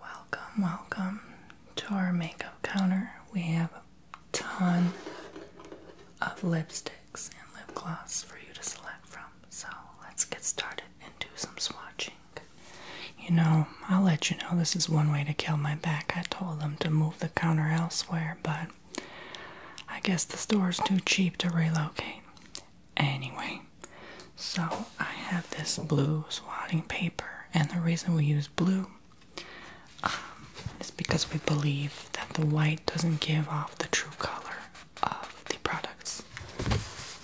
Welcome, welcome to our makeup counter. We have a ton of lipsticks and lip gloss for you to select from. So let's get started and do some swatching. You know, I'll let you know this is one way to kill my back. I told them to move the counter elsewhere, but I guess the store's too cheap to relocate. Anyway, so I have this blue swatting paper, and the reason we use blue um, is because we believe that the white doesn't give off the true color of the products.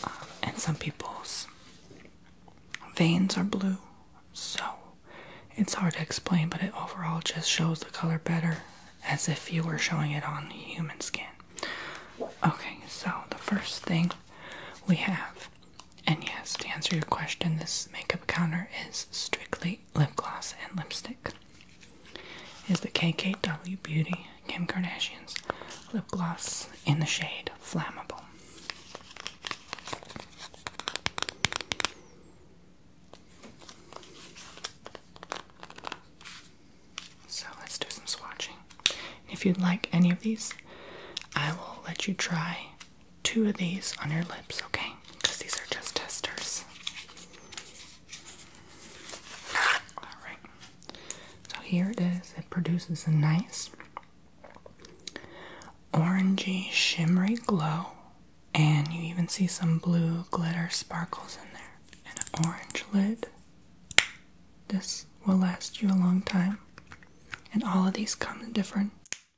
Um, and some people's veins are blue, so it's hard to explain, but it overall just shows the color better as if you were showing it on human skin. Okay, so the first thing we have. And yes, to answer your question, this makeup counter is strictly lip gloss and lipstick. Is the KKW Beauty Kim Kardashian's lip gloss in the shade Flammable? So let's do some swatching. if you'd like any of these, I will let you try two of these on your lips, okay? Because these are just testers. Alright. So here it is. It produces a nice orangey shimmery glow. And you even see some blue glitter sparkles in there. An orange lid. This will last you a long time. And all of these come in different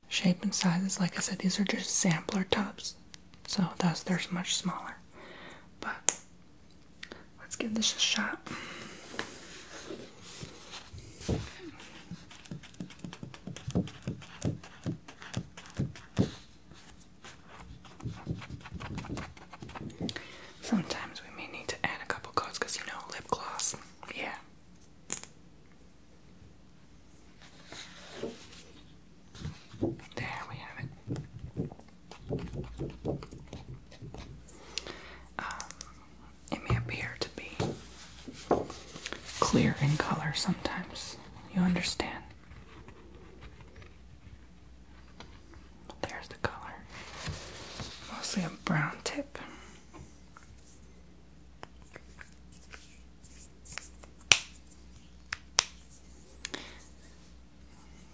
shape and sizes. Like I said, these are just sampler tubs. So thus they're much smaller. But let's give this a shot. Sometimes we may need to add a couple coats because you know, lip gloss. Yeah. There we have it. Um, it may appear to be clear in color sometimes. You understand? There's the color. Mostly a brown tip.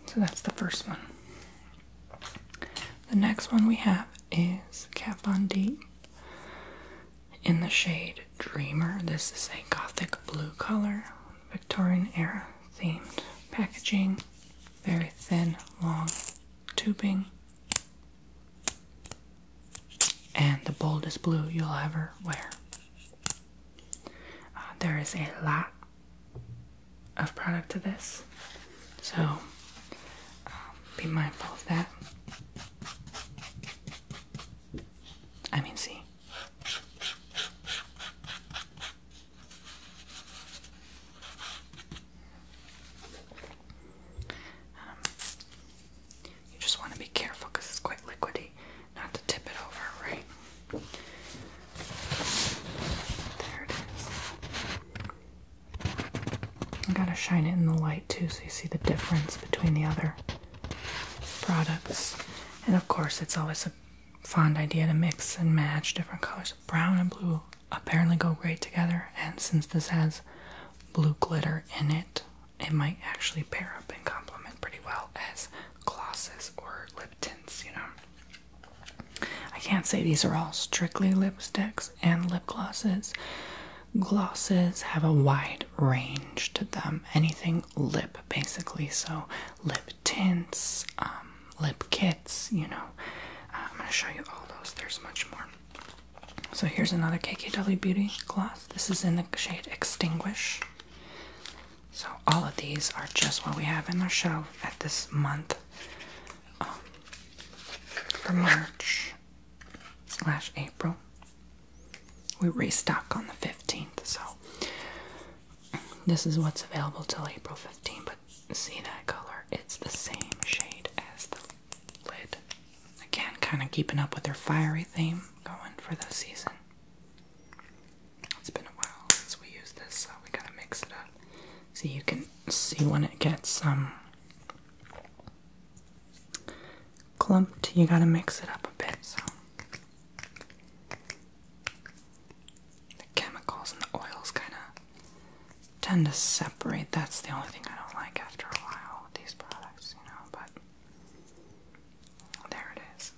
So that's the first one. The next one we have is Kat Von D in the shade Dreamer. This is a gothic blue color, Victorian era themed packaging very thin, long tubing. And the boldest blue you'll ever wear. Uh, there is a lot of product to this, so um, be mindful of that. I mean, see. Um, you just want to be careful because it's quite liquidy, not to tip it over, right? There it is. I gotta shine it in the light too so you see the difference between the other products. And of course, it's always a fond idea to mix and match different colors brown and blue apparently go great together, and since this has blue glitter in it, it might actually pair up and complement pretty well as glosses or lip tints, you know. I can't say these are all strictly lipsticks and lip glosses. Glosses have a wide range to them, anything lip basically, so lip tints, um, lip kits, you know. Uh, I'm going to show you all those. There's much more. So here's another KKW Beauty gloss. This is in the shade Extinguish. So all of these are just what we have in our shelf at this month um, for March slash April. We restock on the 15th, so this is what's available till April 15th, but see that color? It's the same shade as the lid. Again, kind of keeping up with their fiery theme going for the season. It's been a while since we used this, so we gotta mix it up. So you can see when it gets um clumped, you gotta mix it up a bit. So the chemicals and the oils kind of tend to separate. That's the only thing I don't like after a while with these products, you know, but there it is.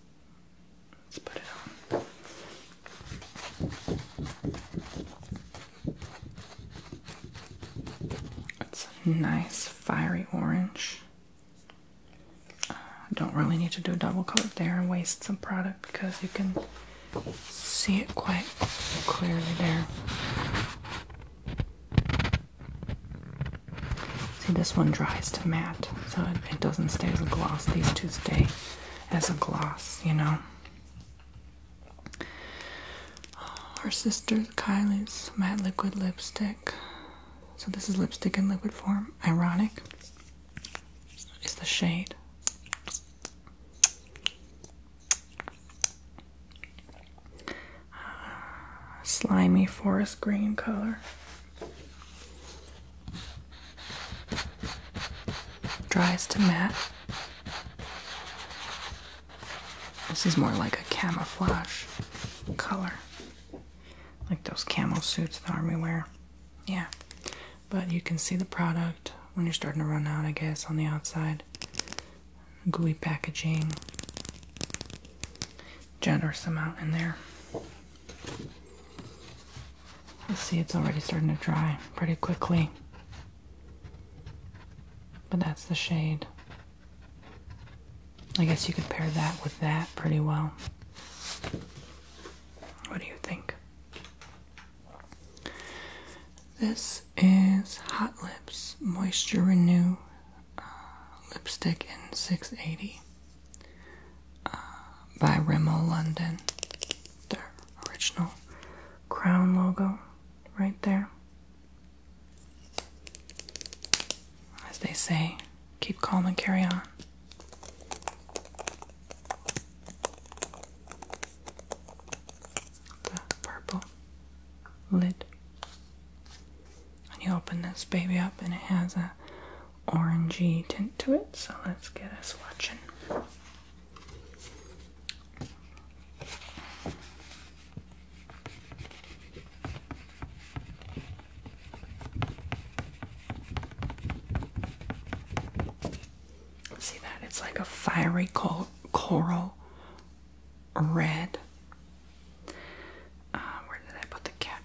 Let's put it on. It's a nice fiery orange. Uh, don't really need to do a double coat there and waste some product because you can see it quite clearly there. See, this one dries to matte, so it, doesn't stay as a gloss. These two stay as a gloss, you know. Oh, our sister Kylie's matte liquid lipstick. So, this is lipstick in liquid form. Ironic is the shade. Ah, slimy forest green color. Dries to matte. This is more like a camouflage color, like those camo suits the army wear yeah but you can see the product when you're starting to run out i guess on the outside gooey packaging generous amount in there you see it's already starting to dry pretty quickly but that's the shade i guess you could pair that with that pretty well what do you think this is Hot Lips Moisture Renew uh, Lipstick in 680 uh, by Rimmel London. Their original crown logo right there. As they say, Keep calm and carry on. The purple lid. And you open this baby up and it has a orangey tint to it, so let's get us watching. See that? It's like a fiery coral red. Uh, where did I put the cat?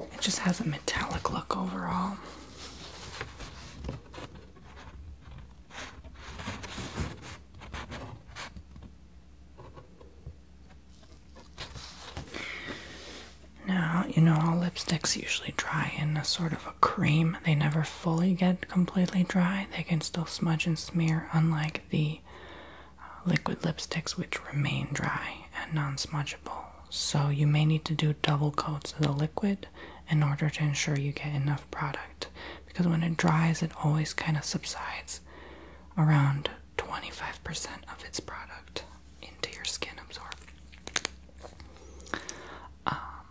It just has a metallic look overall. Now, you know, all lipsticks usually dry in a sort of a cream. They never fully get completely dry. They can still smudge and smear, unlike the uh, liquid lipsticks, which remain dry and non smudgeable. So, you may need to do double coats of the liquid in order to ensure you get enough product because when it dries, it always kind of subsides around 25% of its product into your skin absorbed. Um,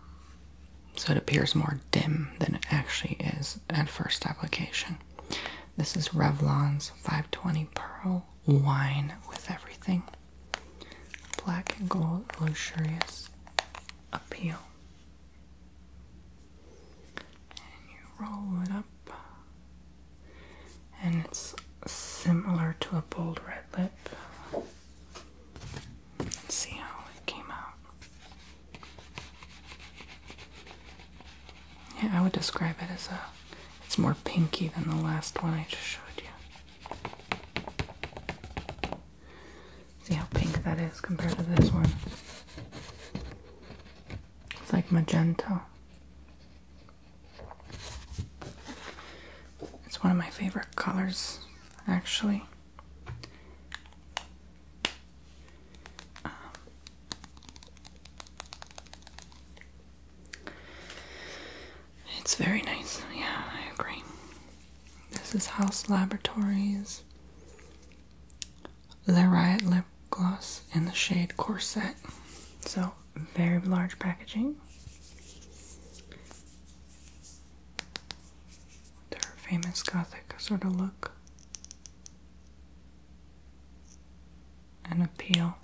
so it appears more dim than it actually is at first application. This is Revlon's 520 Pearl Wine with Everything. Black and Gold Luxurious Appeal and you roll it up, and it's similar to a bold red lip. see how it came out. Yeah, I would describe it as a it's more pinky than the last one I just showed you. See how pink that is compared to this one. It's like magenta. It's one of my favorite colors, actually. Um, it's very nice. Yeah, I agree. This is House Laboratories the Riot Lip Gloss in the shade Corset. So, very large packaging. Their famous gothic sort of look and appeal.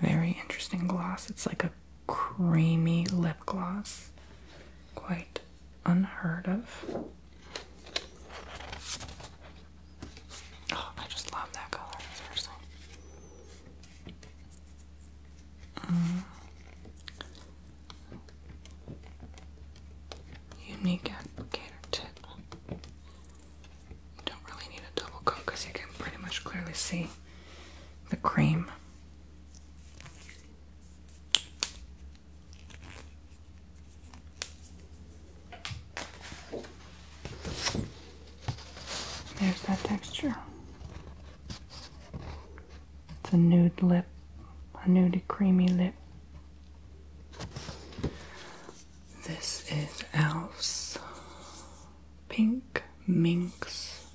Very interesting gloss. It's like a creamy lip gloss. Quite unheard of. Oh, I just love that color, seriously. Mm. Unique applicator tip. You don't really need a double coat because you can pretty much clearly see the cream. There's that texture. It's a nude lip, a nude creamy lip. This is Elf's Pink Minx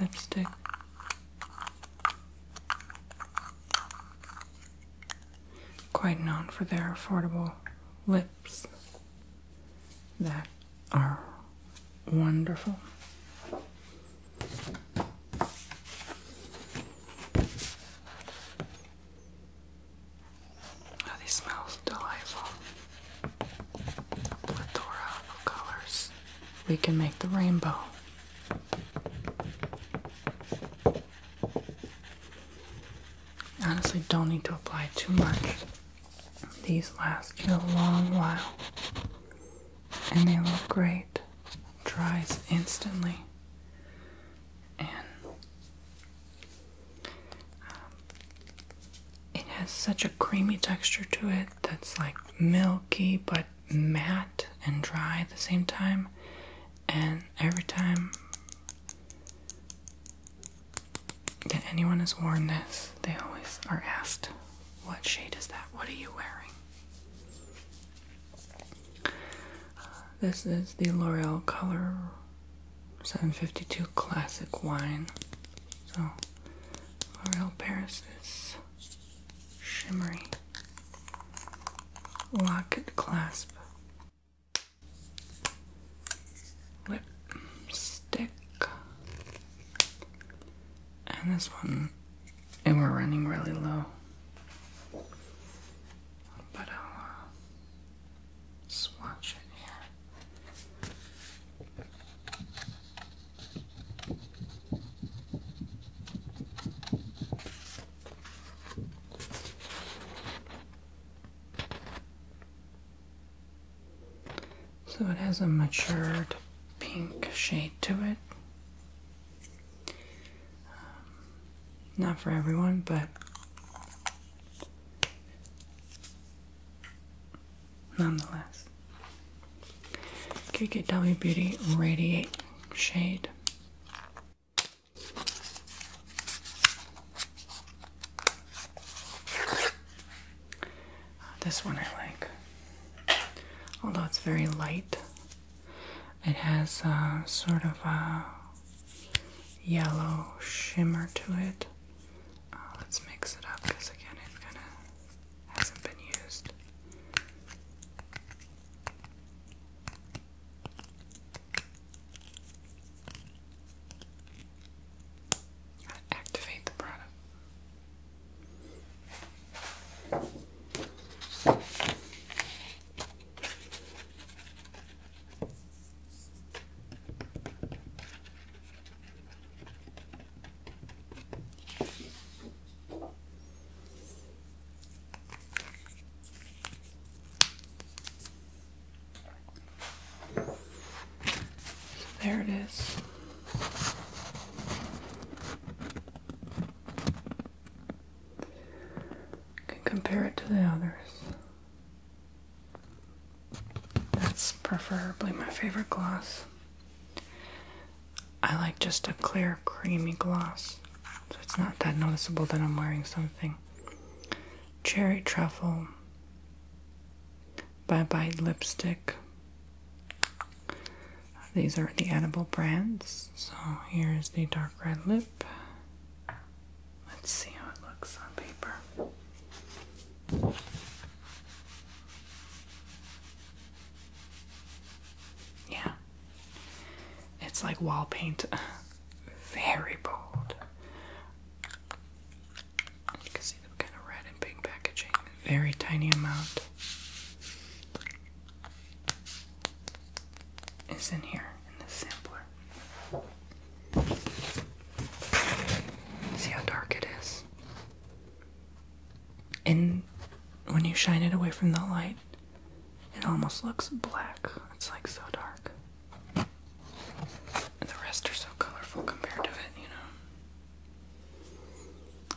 lipstick. Quite known for their affordable lips that are wonderful. Oh, these smells delightful. Plethora of colors we can make the rainbow. Honestly, don't need to apply too much. These last you a long while and they look great. Dries instantly. And um, it has such a creamy texture to it that's like milky but matte and dry at the same time, and every time that anyone has worn this, they always are asked, What shade is that? What are you wearing? this is the L'Oreal Color 752 Classic Wine. So, L'Oreal Paris is shimmery locket clasp lip stick and this one and we're running really low but I'll uh, swatch it here so it has a matured pink shade to it. Um, not for everyone, but nonetheless. KKW Beauty Radiate Shade. Uh, this one I like. Although it's very light, it has uh, sort of a yellow shimmer to it. Uh, let's mix it up because again, it kind of hasn't been used. activate the product there it is. compare it to the others. That's preferably my favorite gloss. I like just a clear, creamy gloss, so it's not that noticeable that I'm wearing something. Cherry Truffle, by Bye Lipstick. These are the edible brands. So here's the dark red lip. Let's see how it looks on paper. Yeah. It's like wall paint. Very bold. You can see the kind of red and pink packaging. Very tiny amount is in here in the sampler. See how dark it is? And when you shine it away from the light, it almost looks black. It's like so dark. the rest are so colorful compared to it, you know.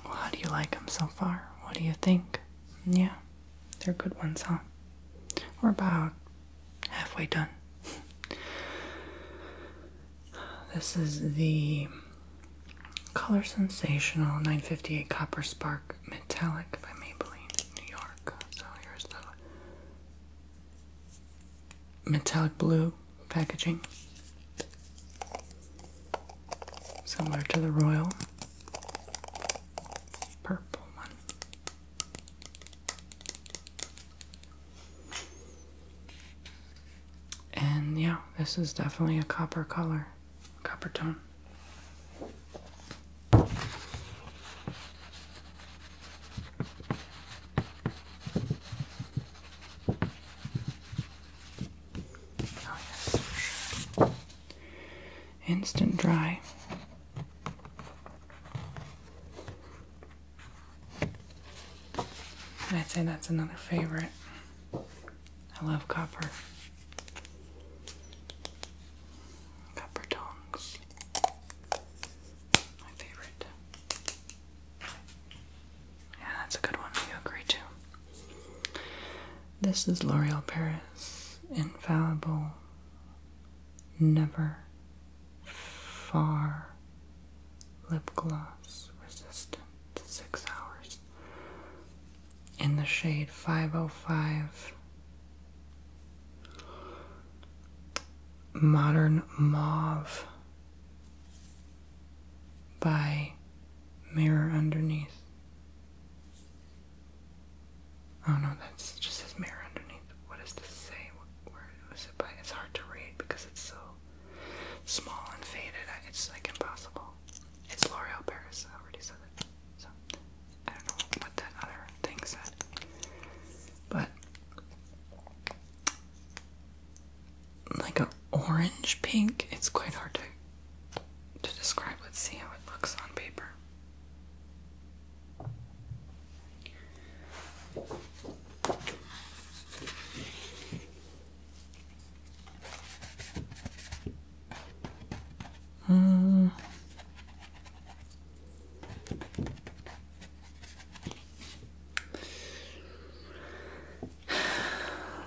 Well, how do you like them so far? What do you think? Yeah, they're good ones, huh? We're about halfway done. This is the Color Sensational 958 Copper Spark Metallic by Maybelline, New York. So here's the metallic blue packaging, similar to the Royal Purple one. And yeah, this is definitely a copper color, copper tone. Oh, Instant dry. I'd say that's another favorite. I love copper. Copper tongs. My favorite. Yeah, that's a good one. You agree too. This is L'Oreal Paris. Infallible. Never Far lip gloss resistant 6 hours in the shade 505 Modern Mauve by Mirror Underneath. Oh no, that's just his Mirror Underneath. What does this say? Where was it by? It's hard to read because it's so small and faded. It's like impossible. It's L'Oreal Paris. I already said it. So I don't know what that other thing said, but like an orange pink. It's quite hard to to describe. Let's see how it looks on paper. Uh,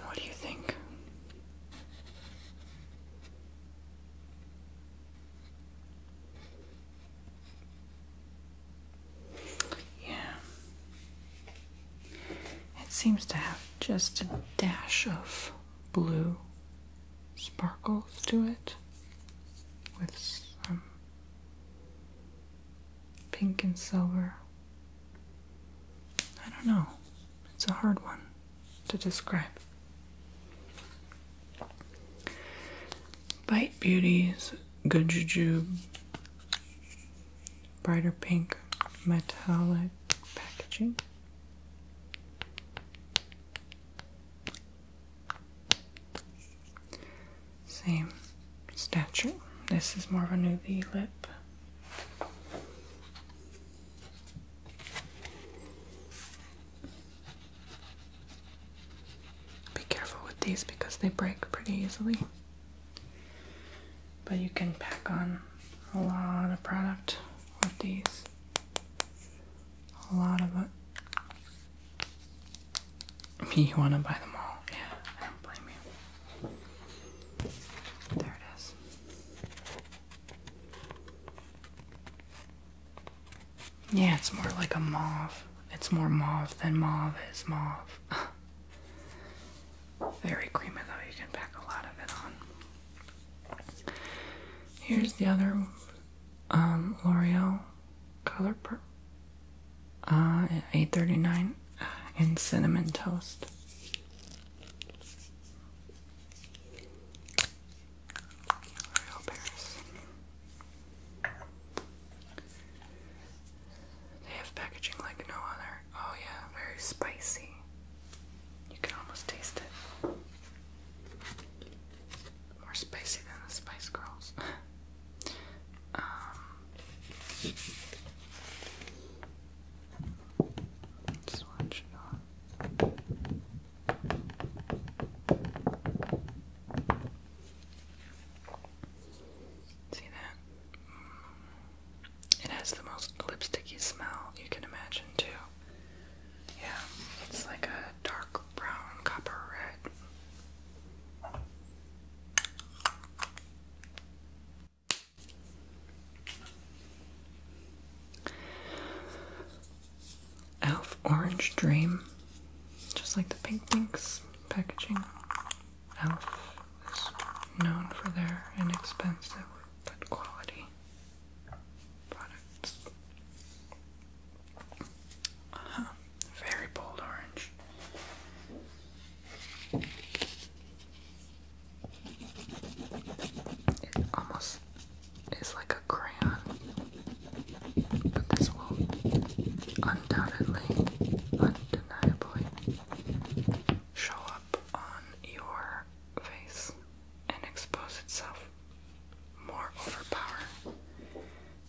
what do you think? Yeah. It seems to have just a dash of blue sparkles to it with some pink and silver. I don't know. It's a hard one to describe. Bite Beauties, Good brighter pink metallic packaging. Same stature. This is more of a nudie lip. Be careful with these because they break pretty easily. But you can pack on a lot of product with these. A lot of it. You want to buy them all. Yeah, I don't blame you. There it is. Yeah, it's more like a moth. It's more mauve than mauve is mauve. Very creamy though, you can pack a lot of it on. Here's the other um, L'Oreal color per uh, 8.39 uh, in cinnamon toast. L'Oreal Paris. They have packaging like no other. Oh, yeah, very spicy. You can almost taste it. More spicy than the Spice Girls. um. let See that? It has the most lipsticky smell you can imagine, too. Yeah, it's like a dark brown, copper red. Elf Orange Dream, just like the pink pinks packaging. Elf is known for their inexpensive but quality products. -huh. Very bold orange. It almost is like a crayon and this will undoubtedly, undeniably show up on your face and expose itself more overpower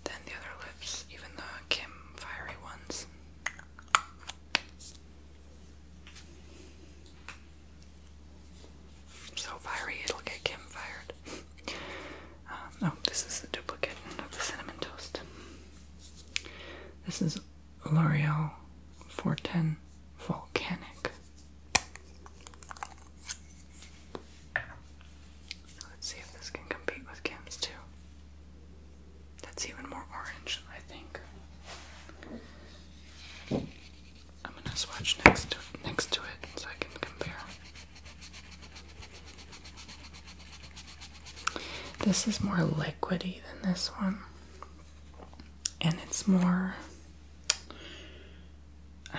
than the other lips, even the Kim fiery ones. So fiery, it'll get Kim fired oh, this is a duplicate of the cinnamon toast. This is L'Oreal 410 Volcanic. Let's see if this can compete with Kim's too. That's even more orange, I think. I'm gonna swatch next next to it so I can compare. This is more liquidy than this one, and it's more.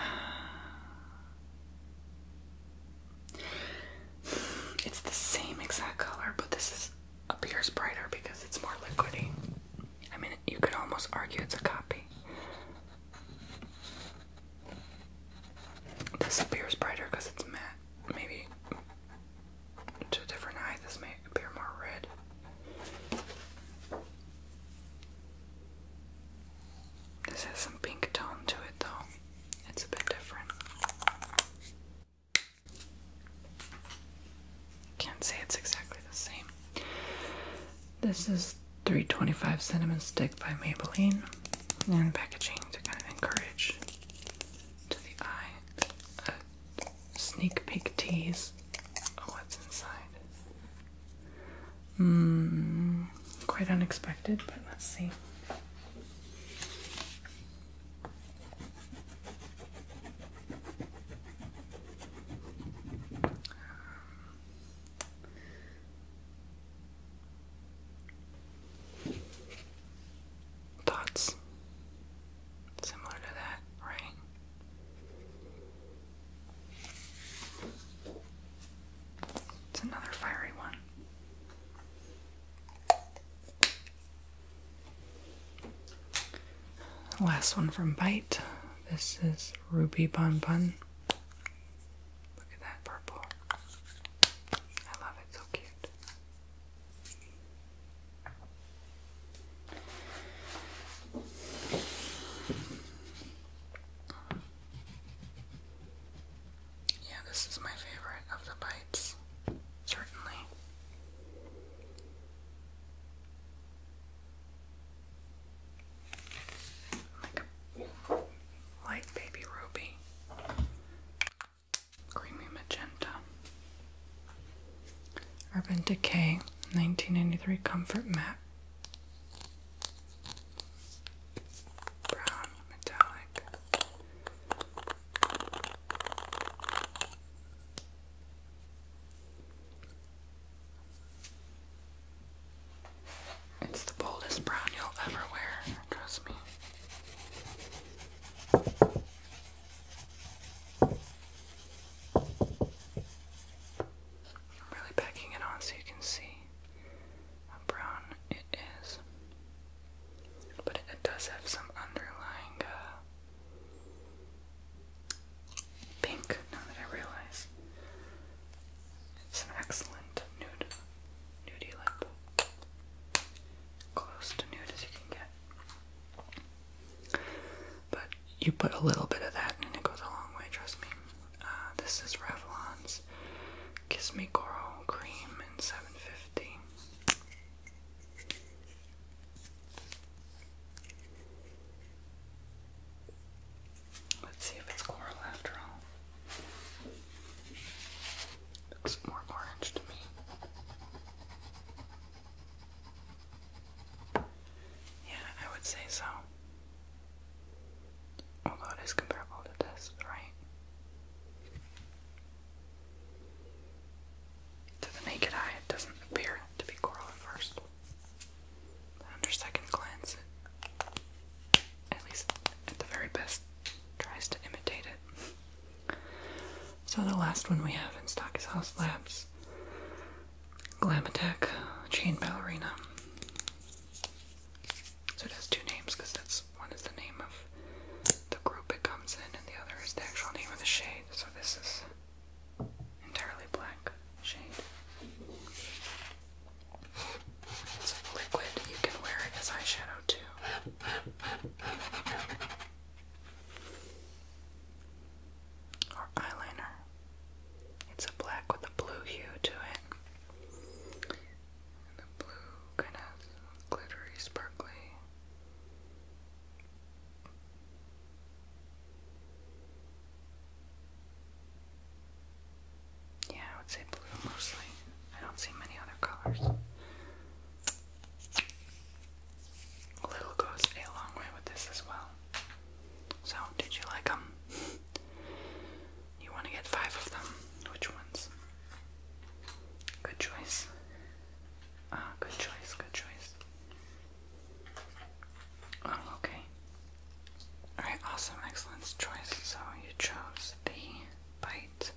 it's the same exact color, but this is appears brighter because it's more liquidy. I mean, you could almost argue it's a copy. This appears brighter because it's matte. Maybe to a different eye, this may appear more red. This has some pink tone to it, though. It's a bit different. Can't say it's exactly the same. This is 325 cinnamon stick by Maybelline and packaging to kind of encourage to the eye a sneak peek tease of what's inside. Mm, quite unexpected, but let's see. Thoughts similar to that, right? It's another fiery one. Last one from Bite. This is Ruby Bon Bun. Look at that purple. I love it, so cute. Yeah, this is my favorite of the bites, certainly like a light baby ruby, creamy magenta. Urban Decay 1993 Comfort mat, Brown metallic. It's the boldest brown you'll ever wear, trust me. I'm really packing it on so you can see how brown it is. But it, does have some underlying uh, pink, now that I realize. It's an excellent nude, nudie lip. Close to nude as you can get. But you put a little bit of that and it goes a long way, trust me. Uh, this is Revlon's Kiss Me Coral Cream in 750. Let's see if it's coral after all. Looks more orange to me. Yeah, I would say so. Although it is comparable to this, right? To the naked eye, it doesn't appear to be coral at first under second glance, at least at the very best, tries to imitate it. So the last one we have in stock is House Labs Glamatec Chain Ballerina. So it has two names because that's one is the name of the group it comes in, and the other is the actual name of the shade. So this is entirely black shade. It's liquid. You can wear it as eyeshadow too. Or eyeliner. It's a black with a blue hue to it. the blue kind of glittery, sparkly. Yeah, I would say blue mostly. I don't see many other colors. Little goes a long way with this as well. So, did you like them? you want to get five of them. Which ones? Good choice. Ah, good choice, good choice. Oh, okay. Alright, awesome, excellent choice. So you chose the bite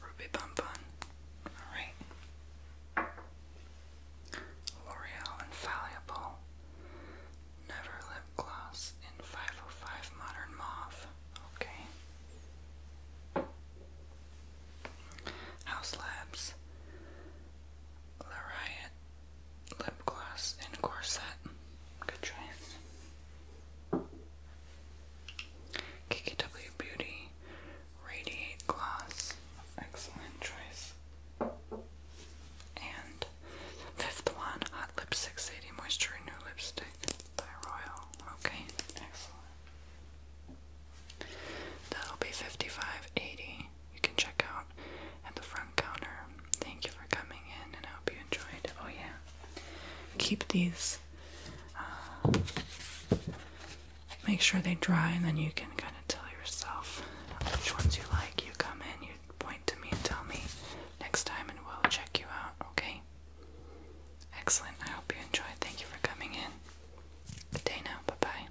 Ruby Bun Bun. Alright. L'Oreal Infallible Never Lip Gloss in 505 Modern Mauve. Okay. House Labs. Lariat lip gloss and corset. Good choice. KKW Beauty Radiate Gloss. Excellent choice. And fifth one, Hot Lip 680 Moisture Renew Lipstick by Royal. Okay, excellent. That'll be 5580 you can check out at the front counter. Thank you for coming in and I hope you enjoyed. Oh, yeah. Keep these. Uh, make sure they dry and then you can kind of tell yourself which ones you like. You come in, you point to me and tell me next time and we'll check you out, okay? Excellent. I hope you enjoyed. Thank you for coming in. Good day now. Bye bye.